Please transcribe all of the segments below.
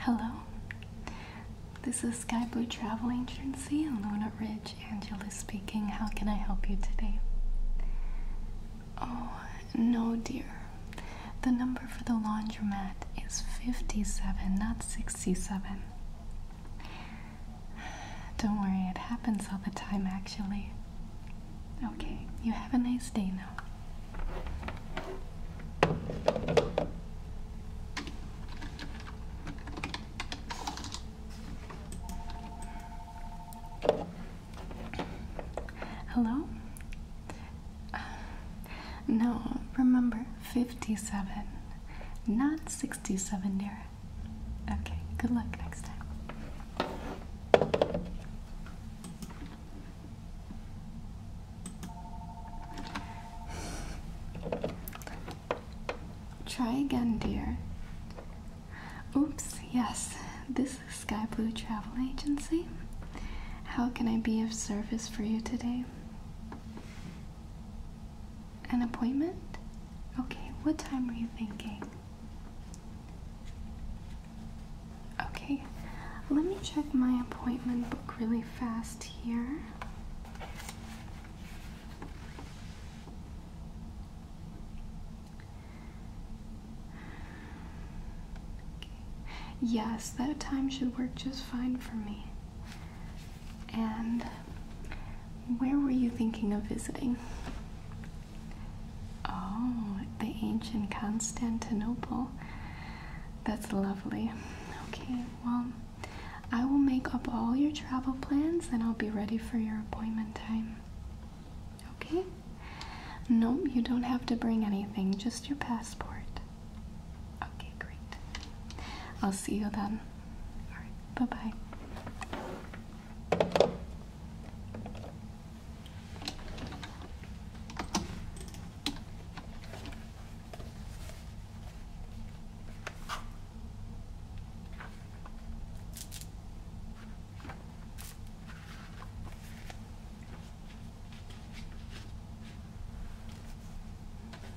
Hello, this is Sky Blue Travel Agency in Luna Ridge. Angela speaking. How can I help you today? Oh, no, dear. The number for the laundromat is 57, not 67. Don't worry, it happens all the time actually. Okay, you have a nice day now. Hello? Uh, no, remember, 57 not 67, Darren. Okay, good luck next time. Try again, dear. Oops, yes, this is Sky Blue Travel Agency. How can I be of service for you today? An appointment? Okay, what time are you thinking? Okay, let me check my appointment book really fast here. Yes, that time should work just fine for me. And where were you thinking of visiting? Oh, the ancient Constantinople. That's lovely. Okay, well, I will make up all your travel plans and I'll be ready for your appointment time. Okay? No, you don't have to bring anything, just your passport. Okay, great. I'll see you then. All right, bye bye.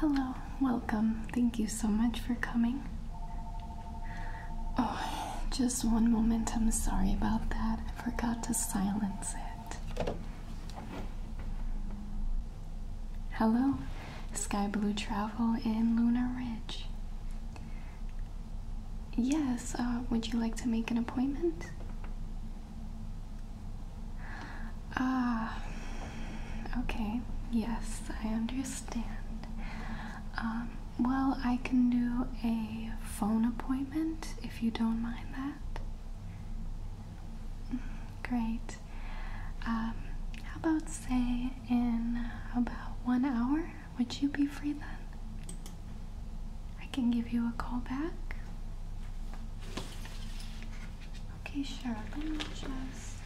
Hello, welcome. Thank you so much for coming. Oh, just one moment. I'm sorry about that. I forgot to silence it. Hello, Sky Blue Travel in Luna Ridge. Yes, uh, would you like to make an appointment? Ah, okay. Yes, I understand. Um, well, I can do a phone appointment if you don't mind that. Mm, great. Um, how about say in about one hour? Would you be free then? I can give you a call back. Okay, sure. Let me just.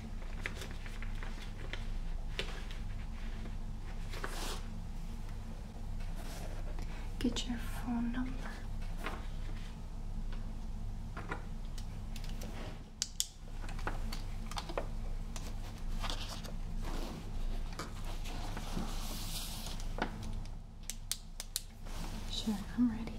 Get your phone number. Sure, I'm ready.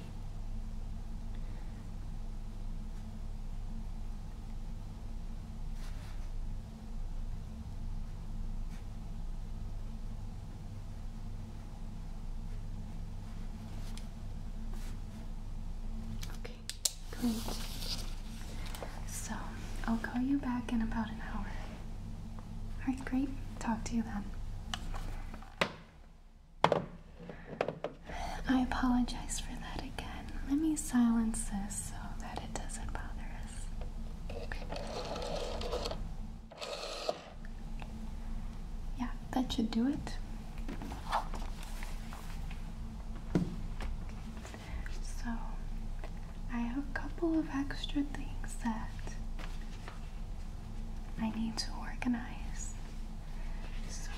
Okay, great. So I'll call you back in about an hour. Alright, great. Talk to you then. I apologize for that again. Let me silence this so that it doesn't bother us. Yeah, that should do it. So, I have a couple of extra things that I need to organize. So,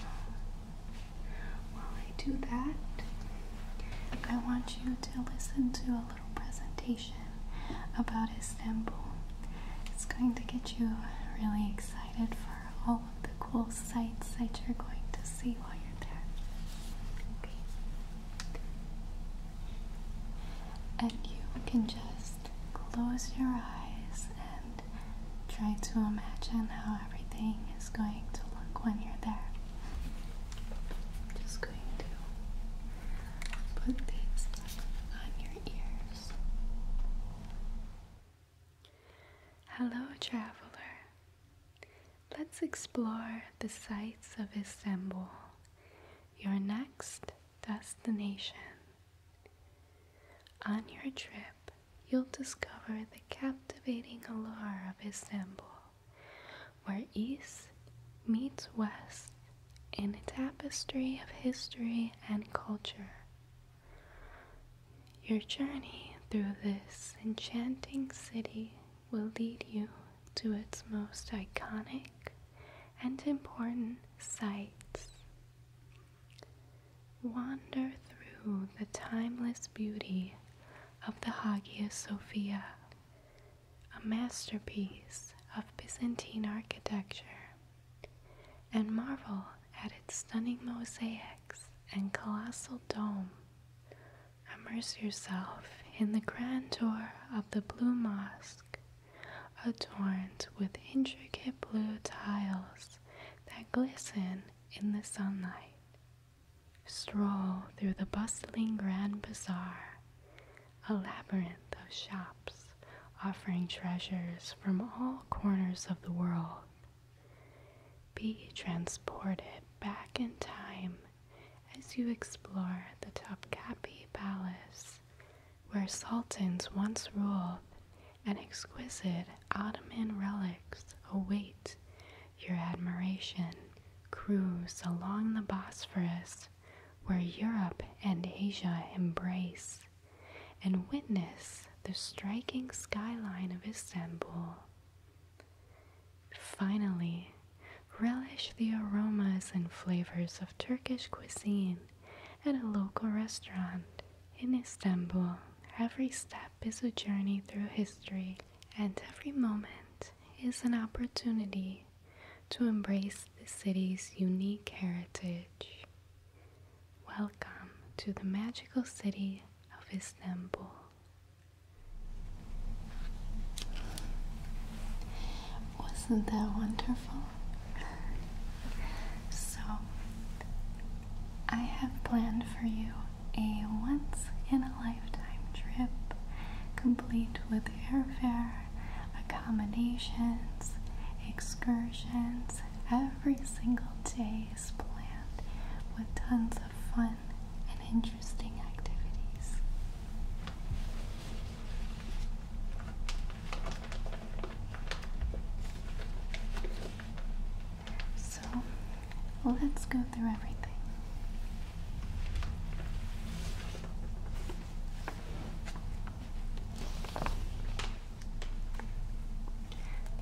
while I do that, I want you to listen to a little presentation about Istanbul. It's going to get you really excited for all of the cool sights that you're going to see while you're there. And you can just close your eyes and try to imagine how everything is going to look when you're there. just going to put this on your ears. Hello, traveler. Let's explore the sights of Istanbul, your next destination. On your trip, you'll discover the captivating allure of Istanbul, where East meets West in a tapestry of history and culture. Your journey through this enchanting city will lead you to its most iconic and important sites. Wander through the timeless beauty of the Hagia Sophia, a masterpiece of Byzantine architecture, and marvel at its stunning mosaics and colossal dome. Immerse yourself in the grandeur of the Blue Mosque, adorned with intricate blue tiles that glisten in the sunlight. Stroll through the bustling Grand Bazaar, a labyrinth of shops offering treasures from all corners of the world. Be transported back in time as you explore the Topkapi Palace, where sultans once ruled and exquisite Ottoman relics await your admiration. Cruise along the Bosphorus, where Europe and Asia embrace, and witness the striking skyline of Istanbul. Finally, relish the aromas and flavors of Turkish cuisine at a local restaurant in Istanbul. Every step step is a journey through history, and every moment is an opportunity to embrace the city's unique heritage. Welcome to the magical city of Istanbul. Wasn't that wonderful? So, I have planned for you a once in a lifetime trip complete with airfare, accommodations, excursions every single day is planned with tons of fun and interesting activities. So let's go through everything.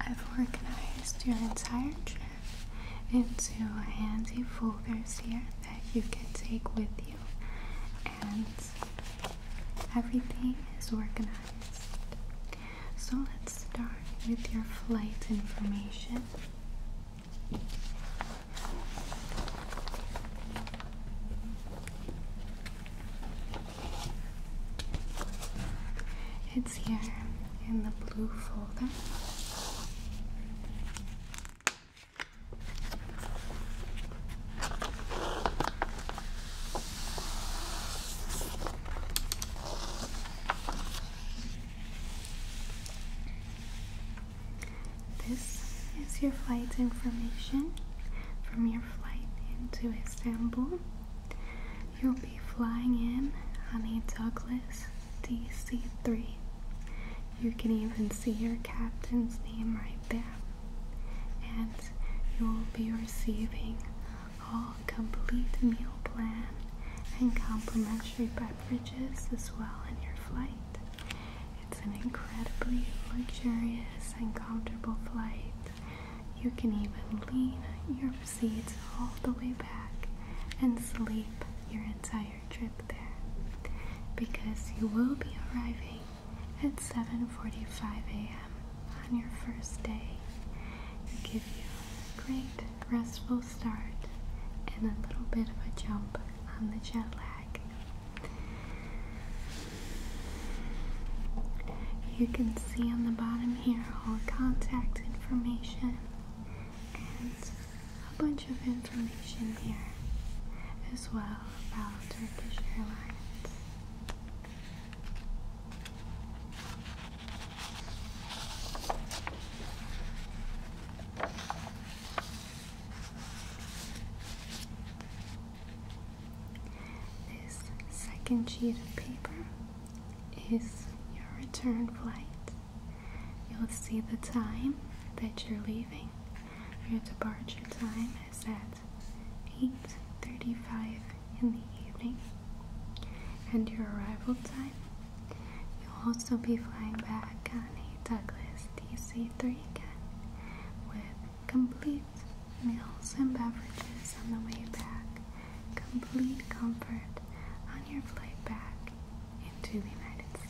I've organized your entire trip into handy folders here that you can take with you, and everything is organized so let's start with your flight information. It's here in the blue folder. This is your flight information from your flight into Istanbul. You'll be flying in on a Douglas DC 3. You can even see your captain's name right there. And you'll be receiving all oh, complete meal plan and complimentary beverages as well in your flight. It's an incredibly luxurious and comfortable flight. You can even lean your seats all the way back and sleep your entire trip there because you will be arriving at 7:45 a.m. on your first day. Give you great restful start and a little bit of a jump on the jet lag. You can see on the bottom here all contact information and a bunch of information here as well about Turkish Airlines. This second sheet of paper is your return flight. You'll see the time that you're leaving. Your departure time is at 8.35 in the evening and your arrival time you'll also be flying back on a Douglas DC-3 again with complete meals and beverages on the way back, complete comfort on your flight back into the United States.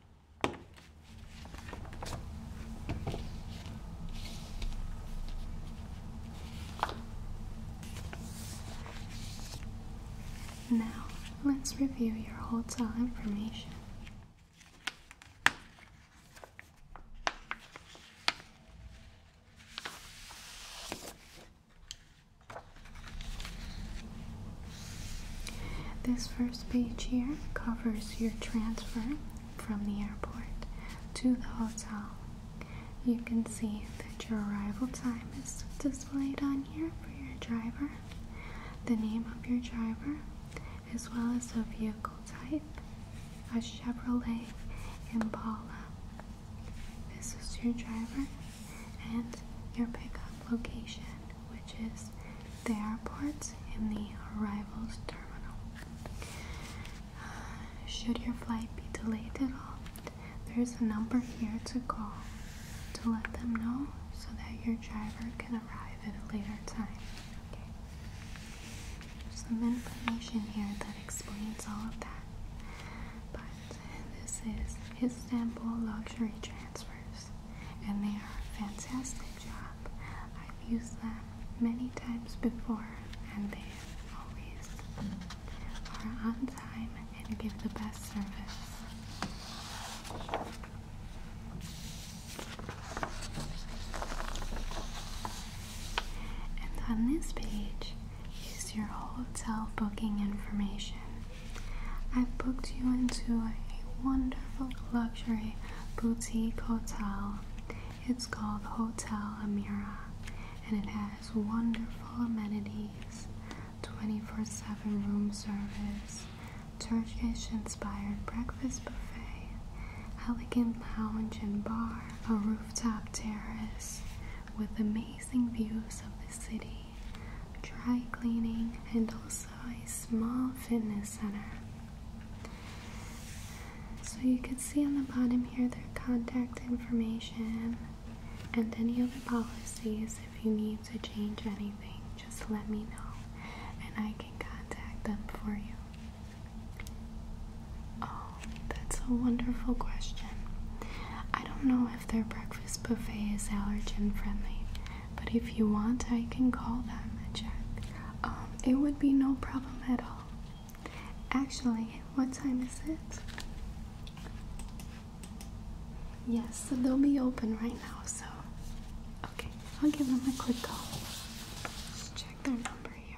Now, let's review your hotel information. This first page here covers your transfer from the airport to the hotel. You can see that your arrival time is displayed on here for your driver, the name of your driver, as well as the vehicle type, a Chevrolet Impala. This is your driver, and your pickup location, which is the airport in the arrivals terminal. Uh, should your flight be delayed at all, there's a number here to call to let them know so that your driver can arrive at a later time. Okay. Some information here that explains all of that. But this is Istanbul Luxury Transfer and they are a fantastic job. I've used them many times before, and they always are on time and give the best service. And on this page is your hotel booking information. I have booked you into a wonderful luxury boutique hotel. It's called Hotel Amira and it has wonderful amenities 24 7 room service, Turkish inspired breakfast buffet, elegant lounge and bar, a rooftop terrace with amazing views of the city dry cleaning, and also a small fitness center. So you can see on the bottom here their contact information and any other policies. If you need to change anything, just let me know and I can contact them for you. Oh, that's a wonderful question. I don't know if their breakfast buffet is allergen friendly. But if you want, I can call them and um, it would be no problem at all. Actually, what time is it? Yes, so they'll be open right now, so. Okay, I'll give them a quick call. Let's check their number here.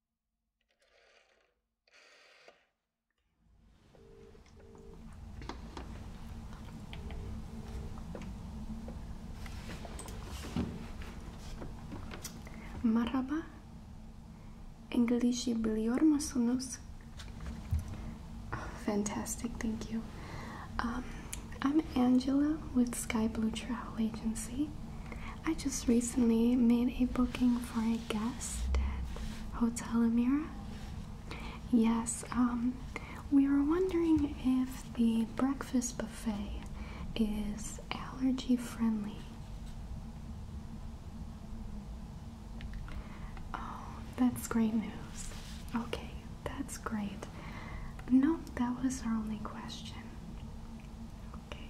Marhaba. İngilizce biliyor musunuz? Oh, fantastic, thank you. Um, I'm Angela with Sky Blue Travel Agency, I just recently made a booking for a guest at Hotel Amira. Yes, um, we were wondering if the breakfast buffet is allergy friendly. Oh, that's great news. Okay, that's great. No, that was our only question. Okay.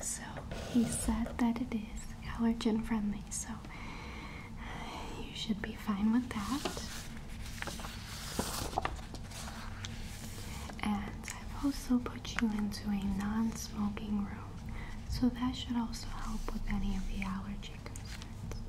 So he said that it is allergen friendly, so you should be fine with that. And I've also put you into a non smoking room, so that should also help with any of the allergy concerns.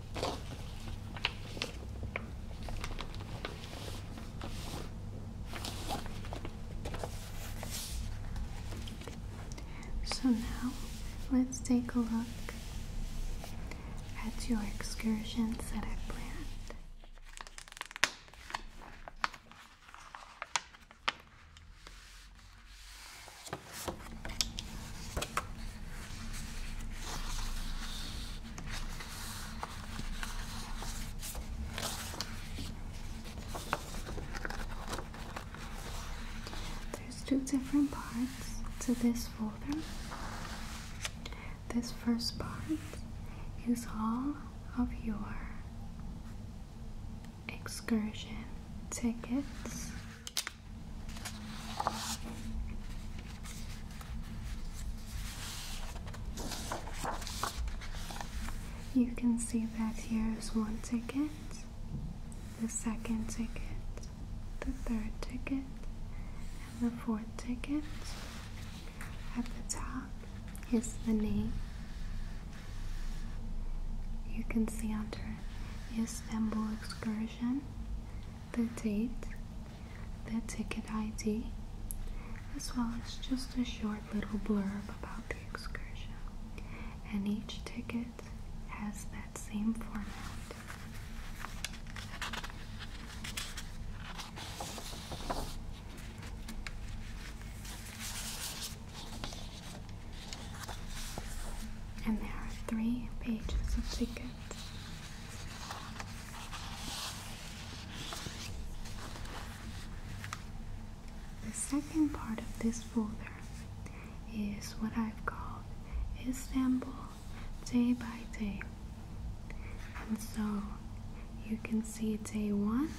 So now let's take a look at your excursion that I planned. There's two different parts to this folder. This first part is all of your excursion tickets you can see that here is one ticket, the second ticket, the third ticket, and the fourth ticket. At the top is the name. You can see under Istanbul excursion, the date, the ticket ID, as well as just a short little blurb about the excursion. And each ticket has that same format. And there are three pages of tickets the second part of this folder is what I've called Istanbul day by day. And so you can see day one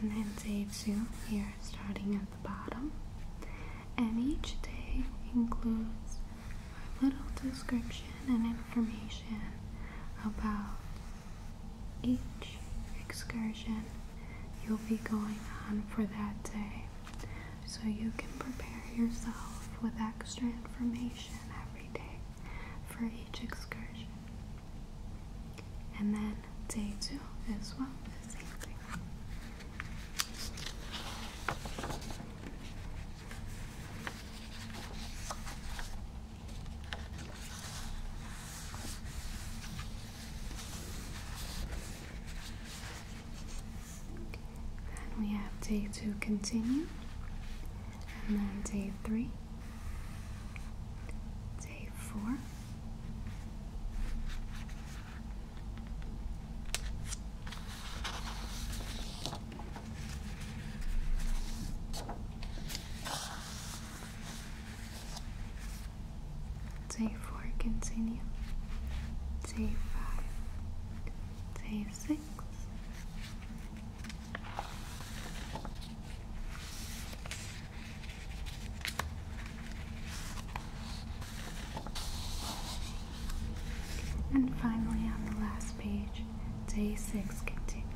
and then day two here starting at the bottom. And each day includes a little description and information about each excursion you'll be going on for that day so you can prepare yourself with extra information every day for each excursion. And then day two as well, the same thing. And we have day two continue, and then day three, day four, Day four continue. Day five. Day six. And finally, on the last page, day six continues.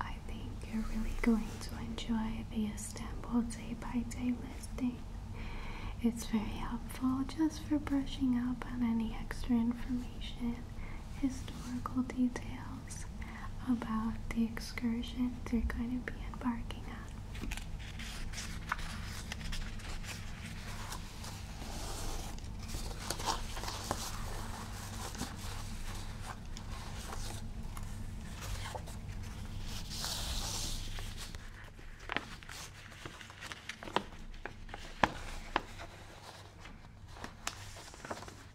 I think you're really going to enjoy the Istanbul day by day listing. It's very helpful just for brushing up on any extra information, historical details about the excursion they're going to be embarking on.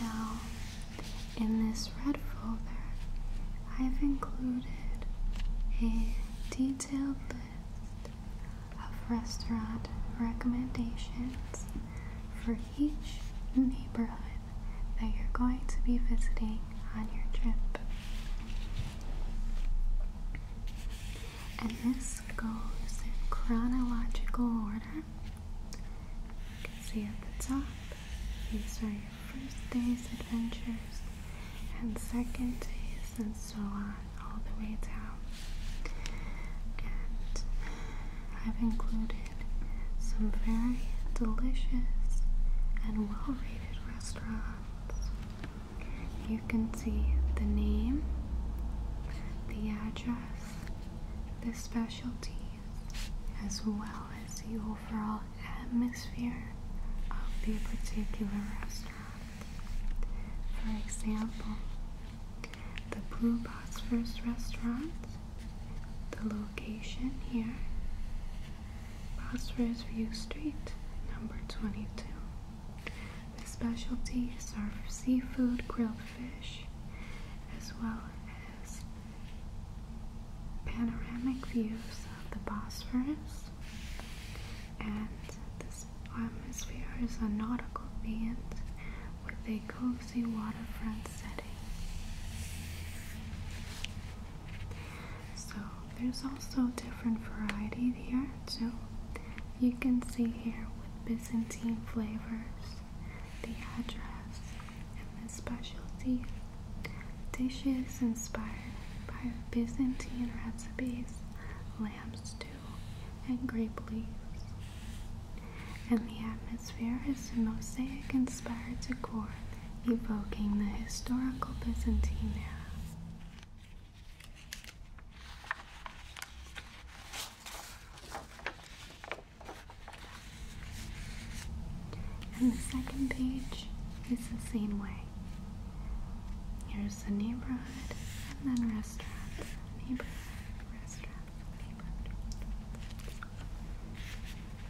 Now, in this red folder, I've included a detailed list of restaurant recommendations for each neighborhood that you're going to be visiting on your trip. And this goes in chronological order. You can see at the top, these are your first day's adventures and second days and so on all the way down. And I've included some very delicious and well rated restaurants. You can see the name, the address, the specialties, as well as the overall atmosphere of the particular restaurant. For example, the Blue Box First Restaurant the location here Prosperous View Street, number 22. The specialty serve seafood, grilled fish, as well as panoramic views of the Bosphorus. And the atmosphere is a nautical band with a cozy waterfront setting. So there's also different varieties here too. You can see here with Byzantine flavors, the address, and the specialty dishes inspired by Byzantine recipes, lamb stew, and grape leaves. And the atmosphere is mosaic inspired decor evoking the historical Byzantine era. And the second page is the same way. Here's the neighborhood and then restaurants. Neighborhood, restaurants, neighborhood.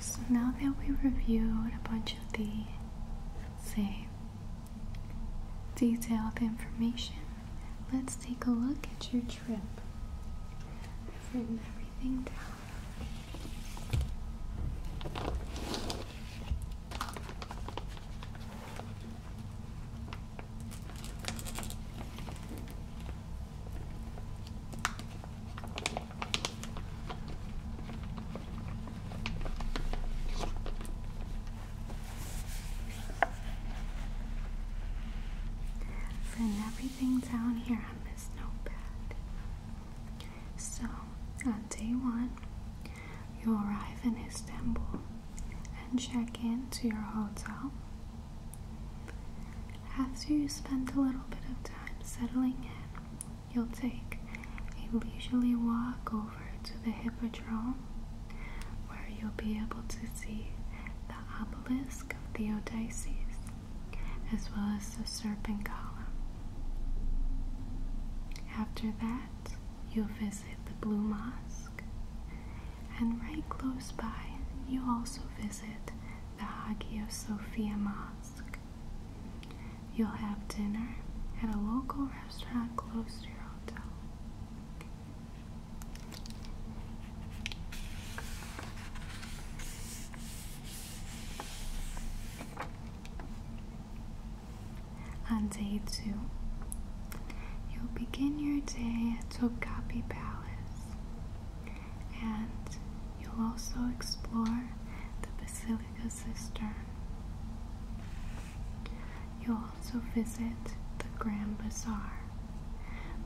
So now that we reviewed a bunch of the, say, detailed information, let's take a look at your trip. I've written everything down. Send everything down here on this notepad. So, on day one, you arrive in Istanbul and check in to your hotel. After you spend a little bit of time settling in, you'll take a leisurely walk over to the Hippodrome where you'll be able to see the obelisk of Theodices as well as the serpent column. After that, you'll visit the Blue Mosque. And right close by, you also visit the Hagia Sophia Mosque. You'll have dinner at a local restaurant close to your hotel. On day two, you'll begin your day at Tokapi Palace and you'll also explore the Basilica Cistern. You'll also visit the Grand Bazaar,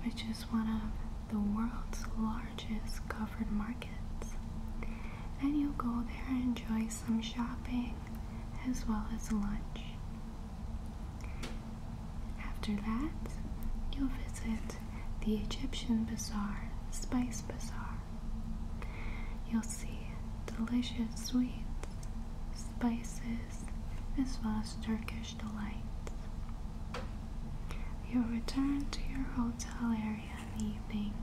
which is one of the world's largest covered markets. And you'll go there and enjoy some shopping as well as lunch. After that, you'll visit the Egyptian Bazaar, Spice Bazaar. You'll see delicious sweets, spices, as well as Turkish delights. You'll return to your hotel area in the evening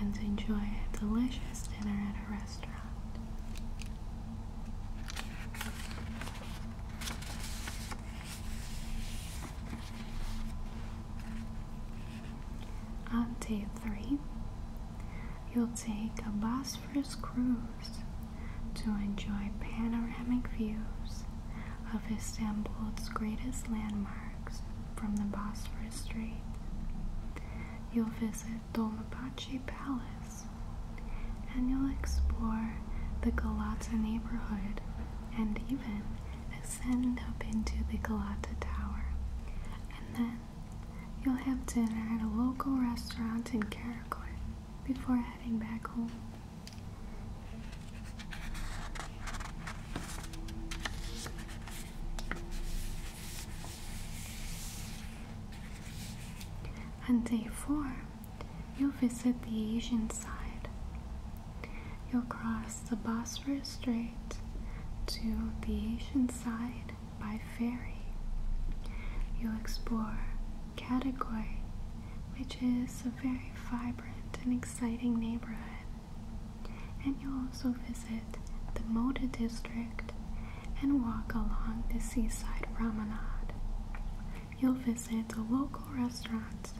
and enjoy a delicious dinner at a restaurant. On day three, you'll take a Bosphorus cruise to enjoy panoramic views of Istanbul's greatest landmarks from the Bosphorus Strait. You'll visit Dolmapachi Palace and you'll explore the Galata neighborhood and even ascend up into the Galata Tower. And then you'll have dinner at a local restaurant in Karakoy before heading back home. On day four, you'll visit the Asian side. You'll cross the Bosphorus Strait to the Asian side by ferry. You'll explore Katakoi, which is a very vibrant and exciting neighborhood and you'll also visit the Moda district and walk along the seaside promenade. You'll visit a local restaurant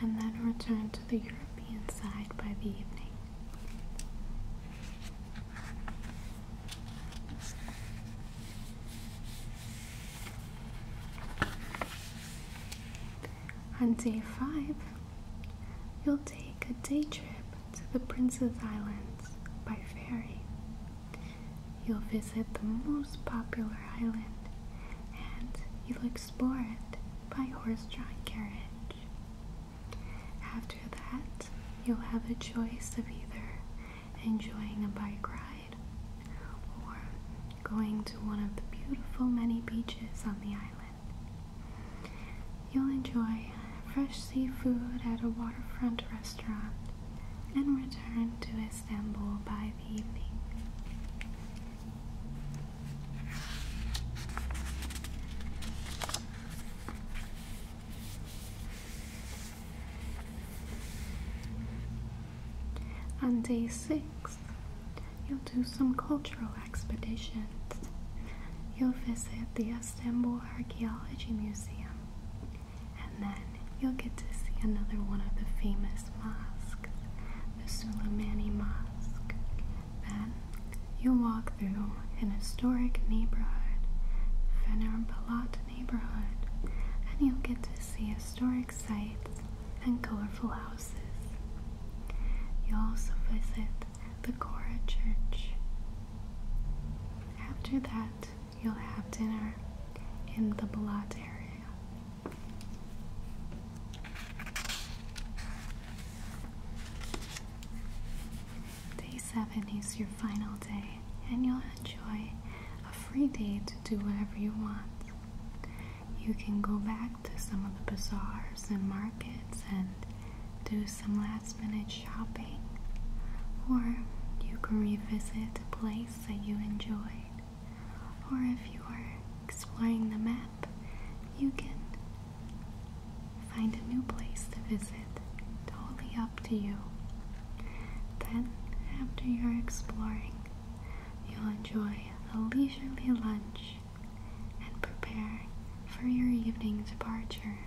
and then return to the European side by the evening. On day five, You'll take a day trip to the Princess Islands by ferry. You'll visit the most popular island and you'll explore it by horse-drawn carriage. After that, you'll have a choice of either enjoying a bike ride or going to one of the beautiful many beaches on the island. You'll enjoy fresh seafood at a waterfront restaurant and return to Istanbul by the evening. On day six, you'll do some cultural expeditions. You'll visit the Istanbul Archaeology Museum. And then you'll get to see another one of the famous mosques, the Suleimani Mosque. Then you'll walk through an historic neighborhood, Fener Palat neighborhood, and you'll get to see historic sites and colorful houses. You'll also visit the Cora Church. After that, you'll have dinner in the Balot area. Day 7 is your final day, and you'll enjoy a free day to do whatever you want. You can go back to some of the bazaars and markets and do some last minute shopping, or you can revisit a place that you enjoyed, or if you are exploring the map, you can find a new place to visit. Totally up to you. Then, after you're exploring, you'll enjoy a leisurely lunch and prepare for your evening departure.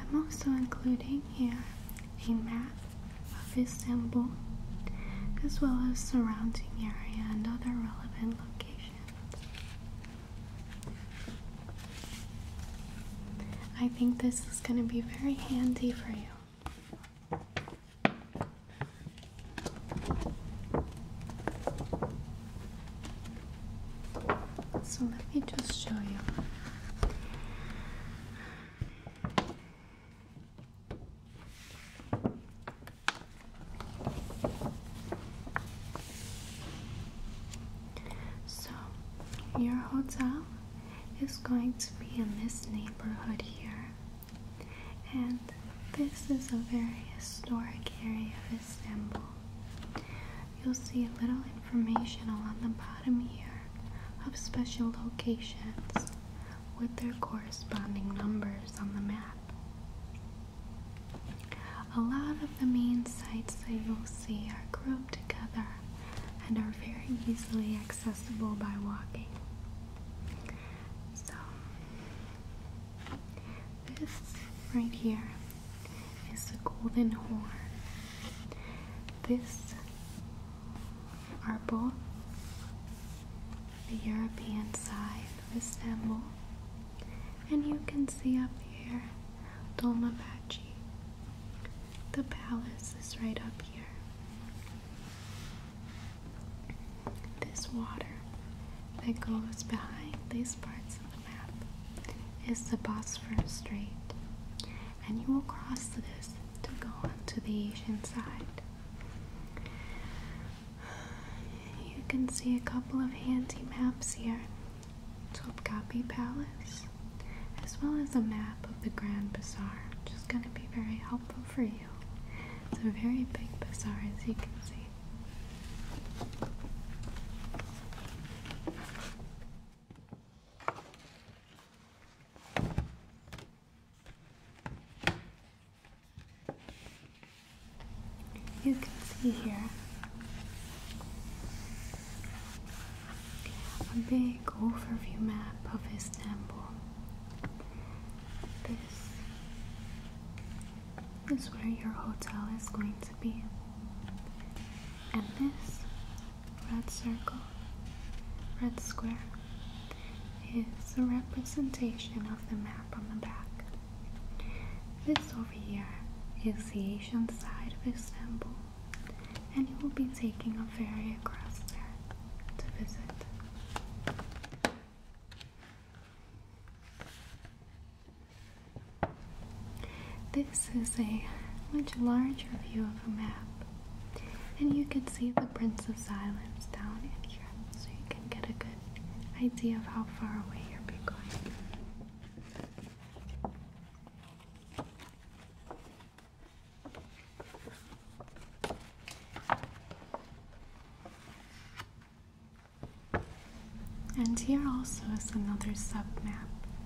I'm also including here a map of temple, as well as surrounding area and other relevant locations. I think this is going to be very handy for you. So let me just show you. So, your hotel is going to be in this neighborhood here, and this is a very historic area You'll see a little information along the bottom here of special locations with their corresponding numbers on the map. A lot of the main sites that you'll see are grouped together and are very easily accessible by walking. So, this right here is the golden horn. This are the European side of Istanbul, and you can see up here Dolmabahce. The palace is right up here. This water that goes behind these parts of the is the Bosphorus Strait, and you will cross this to go onto the Asian side. You can see a couple of handy maps here Topkapi Palace, as well as a map of the Grand Bazaar, which is going to be very helpful for you. It's a very big bazaar, as you can see. You can see here a big overview map of Istanbul. This is where your hotel is going to be, and this red circle, red square, is a representation of the map on the back. This over here is the Asian side of Istanbul, and you will be taking a ferry across there to visit. This is a much larger view of a map, and you can see the Princess Islands down here, so you can get a good idea of how far away you are going. And here also is another submap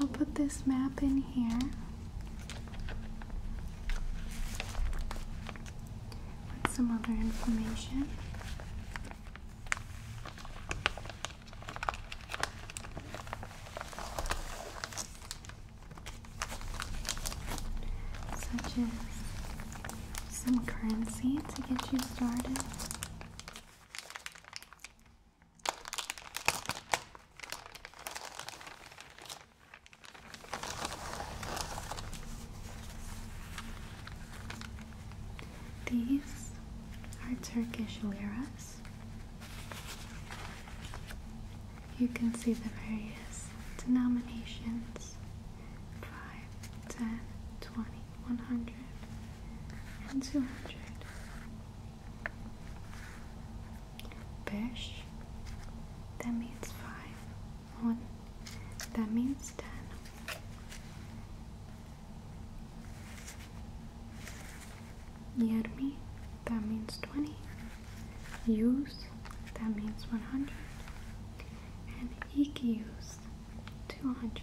I'll put this map in here. some other information such as some currency to get you started. These are Turkish liras. You can see the various denominations 5, 10, 20, 100, and 200. that means 5, 1, that means 10 near me that means 20 use that means 100 and EQs 200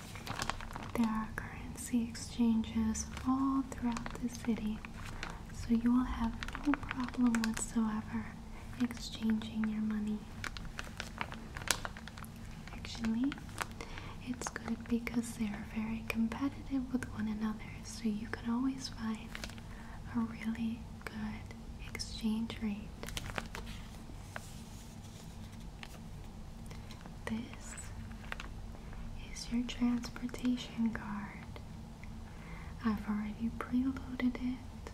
There are currency exchanges all throughout the city, so you will have no problem whatsoever exchanging your money. Actually, it's good because they are very competitive with one another, so you can always find a really good exchange rate. This is your transportation card. I've already preloaded it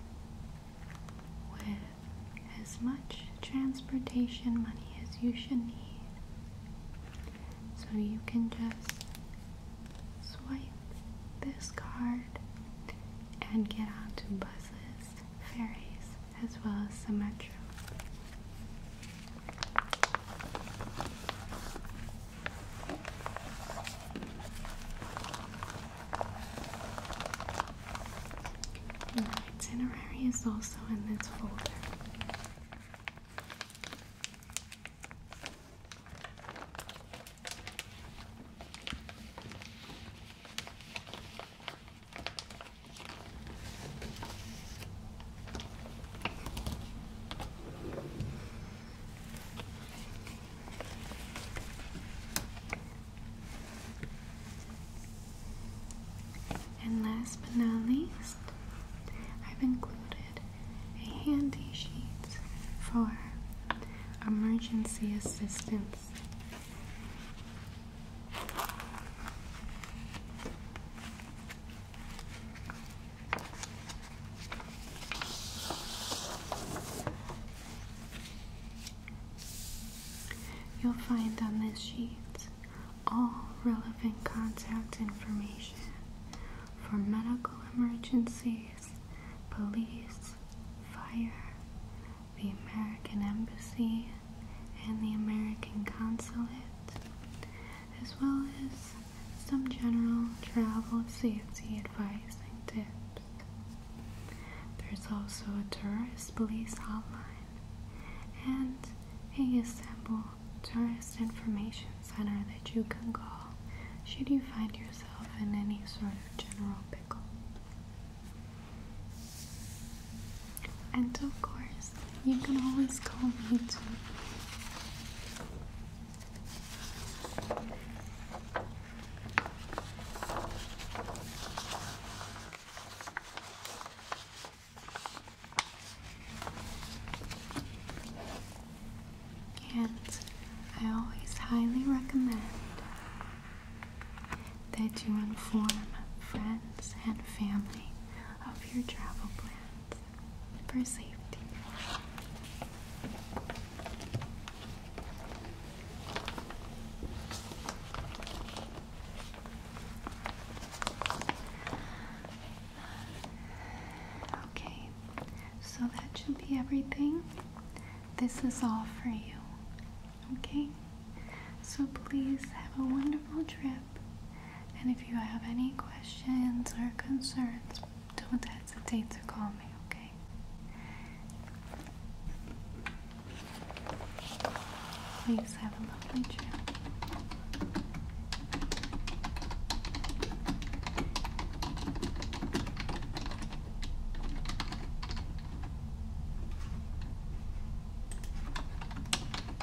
with as much transportation money as you should need. So you can just swipe this card and get to buses, ferries, as well as the metro itinerary is also in this folder. And last but not least, I've included a handy sheet for emergency assistance. You'll find on this sheet all relevant contact information for medical emergencies, police, fire, the American Embassy, and the American Consulate, as well as some general travel safety advice and tips. There's also a tourist police hotline and a Istanbul tourist information center that you can call should you find yourself in any sort of general pickle. And of course, you can always call me too. And I always highly recommend that you inform friends and family of your travel plans for safety. Okay, so that should be everything. This is all for you. Okay? So please have a wonderful trip and if you have any questions or concerns, don't hesitate to call me, okay? Please have a lovely trip.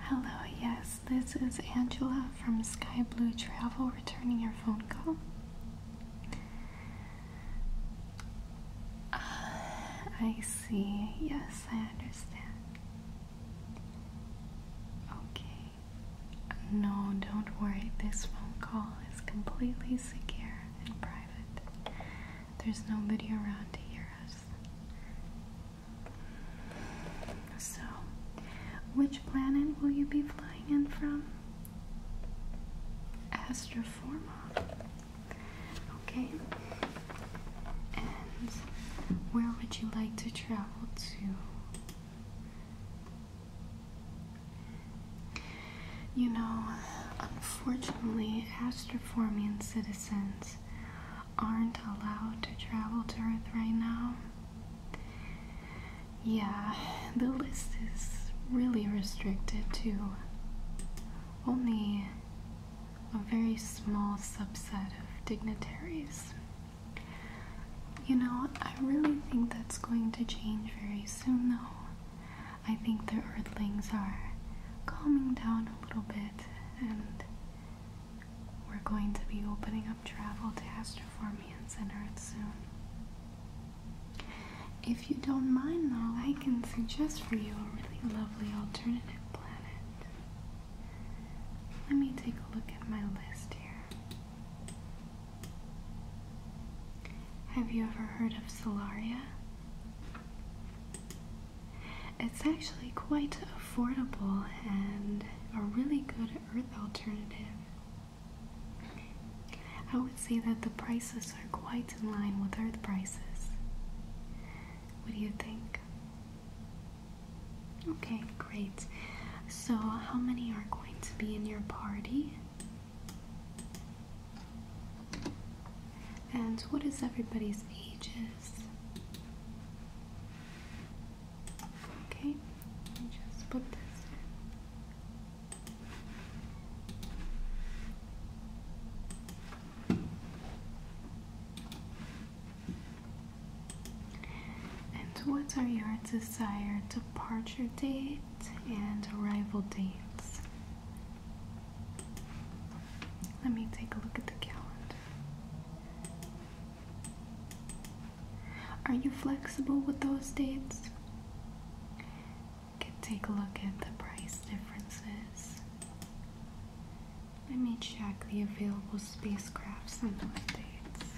Hello, yes, this is Angela from Sky Blue Travel returning your phone call. Uh, I see, yes, I understand. Okay. No, don't worry. This phone call is completely secure and private. There's nobody around to hear us. So, which planet will you be flying in from? Astroforma. Okay. And where would you like to travel to? You know, unfortunately, Astroformian citizens aren't allowed to travel to Earth right now. Yeah, the list is really restricted to only a very small subset of dignitaries. You know, I really think that's going to change very soon, though. I think the Earthlings are calming down a little bit, and we're going to be opening up travel to Astroformians and Earth soon. If you don't mind, though, I can suggest for you a really lovely alternative planet. Let me take a look at my list here. Have you ever heard of Solaria? It's actually quite affordable and a really good earth alternative. I would say that the prices are quite in line with earth prices. What do you think? Okay, great. So, how many are going to be in your party? And what is everybody's ages? Okay, just put this and what are your desired departure date and arrival dates? Let me take a look at the calendar. Are you flexible with those dates? can take a look at the price differences. Let me check the available spacecrafts and what dates.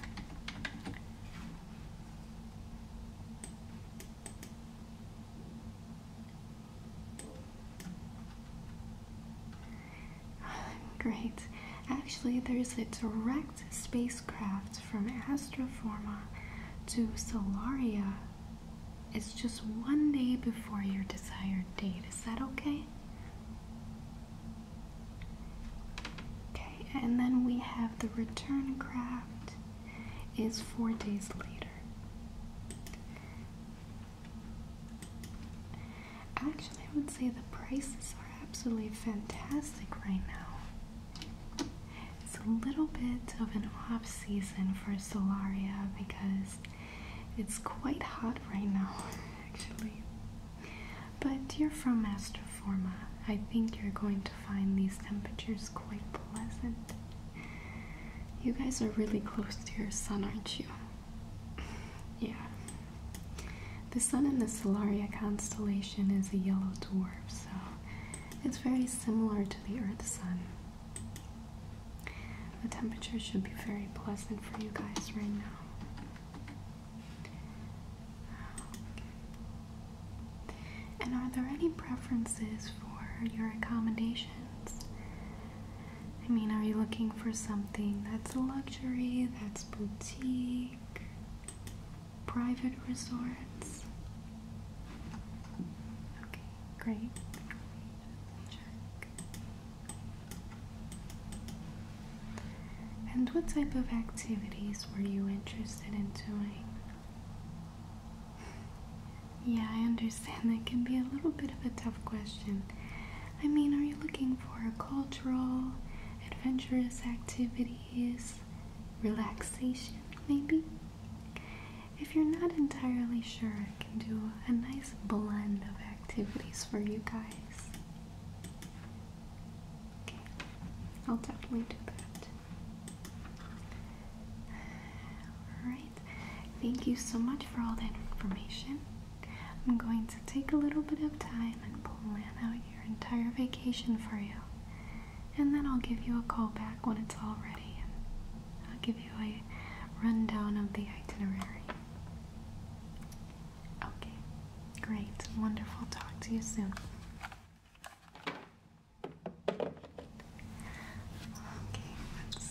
Great. Actually, there's a direct spacecraft from Astroforma to Solaria. It's just one day before your desired date. Is that okay? Okay, and then we have the return craft is four days later. Actually, I would say the prices are absolutely fantastic right now. It's a little bit of an off season for Solaria because it's quite hot right now. actually. But you're from Master Forma. I think you're going to find these temperatures quite pleasant. You guys are really close to your sun, aren't you? Yeah. The sun in the Solaria constellation is a yellow dwarf, so it's very similar to the Earth's sun. The temperature should be very pleasant for you guys right now. And are there any preferences for your accommodations? I mean, are you looking for something that's luxury, that's boutique, private resorts? Okay, great. And what type of activities were you interested in doing? yeah, I understand that can be a little bit of a tough question. I mean, are you looking for cultural, adventurous activities, relaxation, maybe? If you're not entirely sure, I can do a nice blend of activities for you guys. I'll definitely do that. Alright, thank you so much for all that information. I'm going to take a little bit of time and plan out your entire vacation for you. And then I'll give you a call back when it's all ready. And I'll give you a rundown of the itinerary. Okay, great, wonderful. Talk to you soon. Okay, let's see.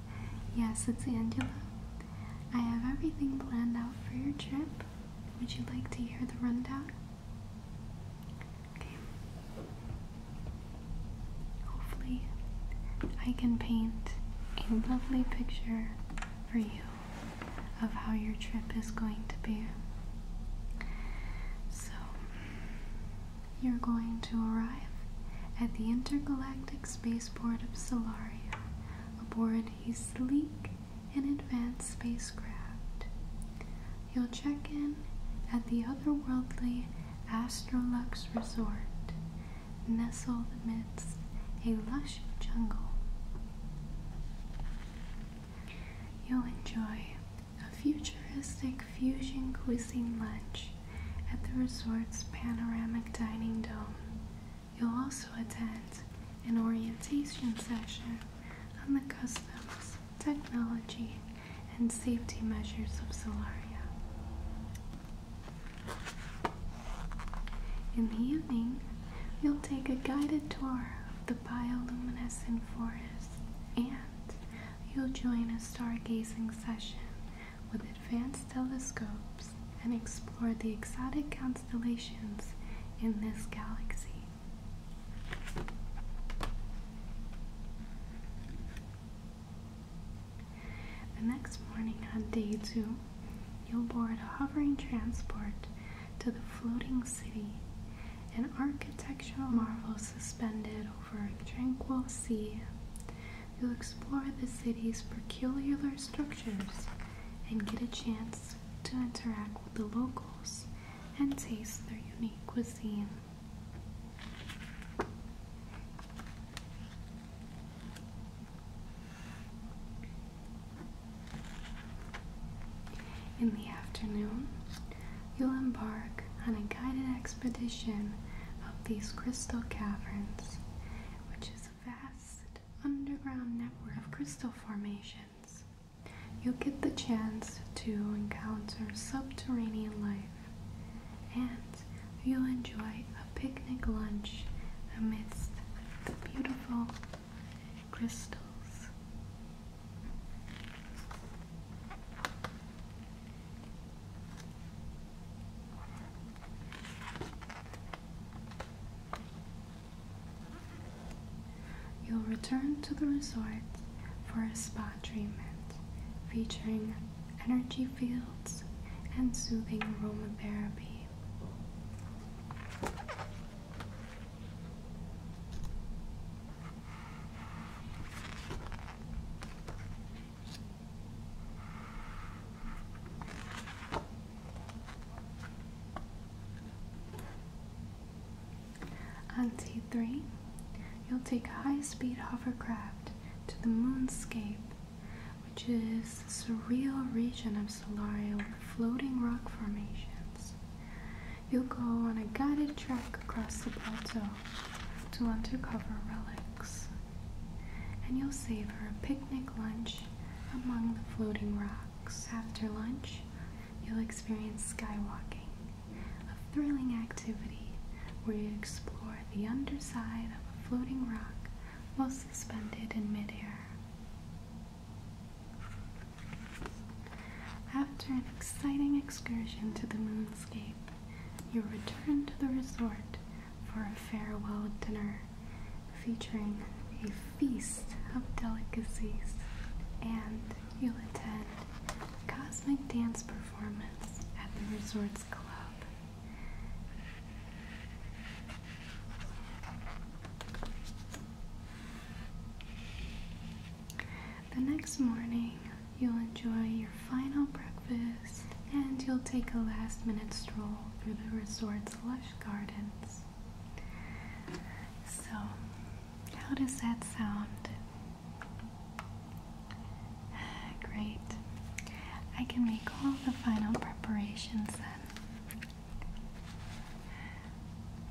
Yes, it's Angela. I have everything planned out for your trip. Would you like to hear the rundown? Hopefully, I can paint a lovely picture for you of how your trip is going to be. So, you're going to arrive at the intergalactic spaceport of Solaria aboard a sleek and advanced spacecraft. You'll check in at the otherworldly Astrolux Resort, nestled amidst a lush jungle. You'll enjoy a futuristic fusion cuisine lunch at the resort's panoramic dining dome You'll also attend an orientation session on the customs, technology, and safety measures of Solaria. In the evening, you'll take a guided tour of the bioluminescent forest and you'll join a stargazing session with advanced telescopes and explore the exotic constellations in this galaxy. The next morning, on day two, you'll board a hovering transport to the floating city, an architectural marvel suspended over a tranquil sea. You'll explore the city's peculiar structures and get a chance to interact with the locals and taste their unique cuisine. In the afternoon, you'll embark on a guided expedition of these crystal caverns, which is vast underground network of crystal formations, you'll get the chance to encounter subterranean life and you'll enjoy a picnic lunch amidst the beautiful crystals. You'll return to the resort for a spa treatment featuring energy fields and soothing aromatherapy. On T3, you'll take a high-speed hovercraft to the moonscape, which is a surreal region of Solaria with floating rock formations. You'll go on a guided trek across the plateau to uncover relics, and you'll savor a picnic lunch among the floating rocks. After lunch, you'll experience skywalking, a thrilling activity where you explore the underside of a floating rock while suspended in midair. After an exciting excursion to the moonscape, you return to the resort for a farewell dinner featuring a feast of delicacies, and you'll attend a cosmic dance performance at the resort's club. The next morning, you'll enjoy your final breakfast and you'll take a last minute stroll through the resort's lush gardens. So, how does that sound? Great. I can make all the final preparations then.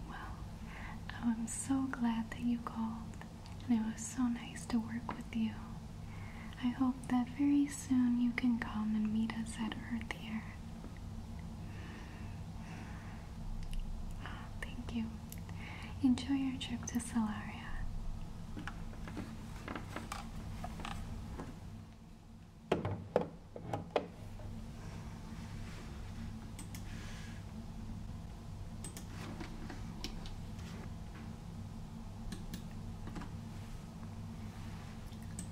Well, I'm so glad that you called, and it was so nice to work with you. I hope that very soon you can come and meet us at Earth here. thank you. Enjoy your trip to Salaria.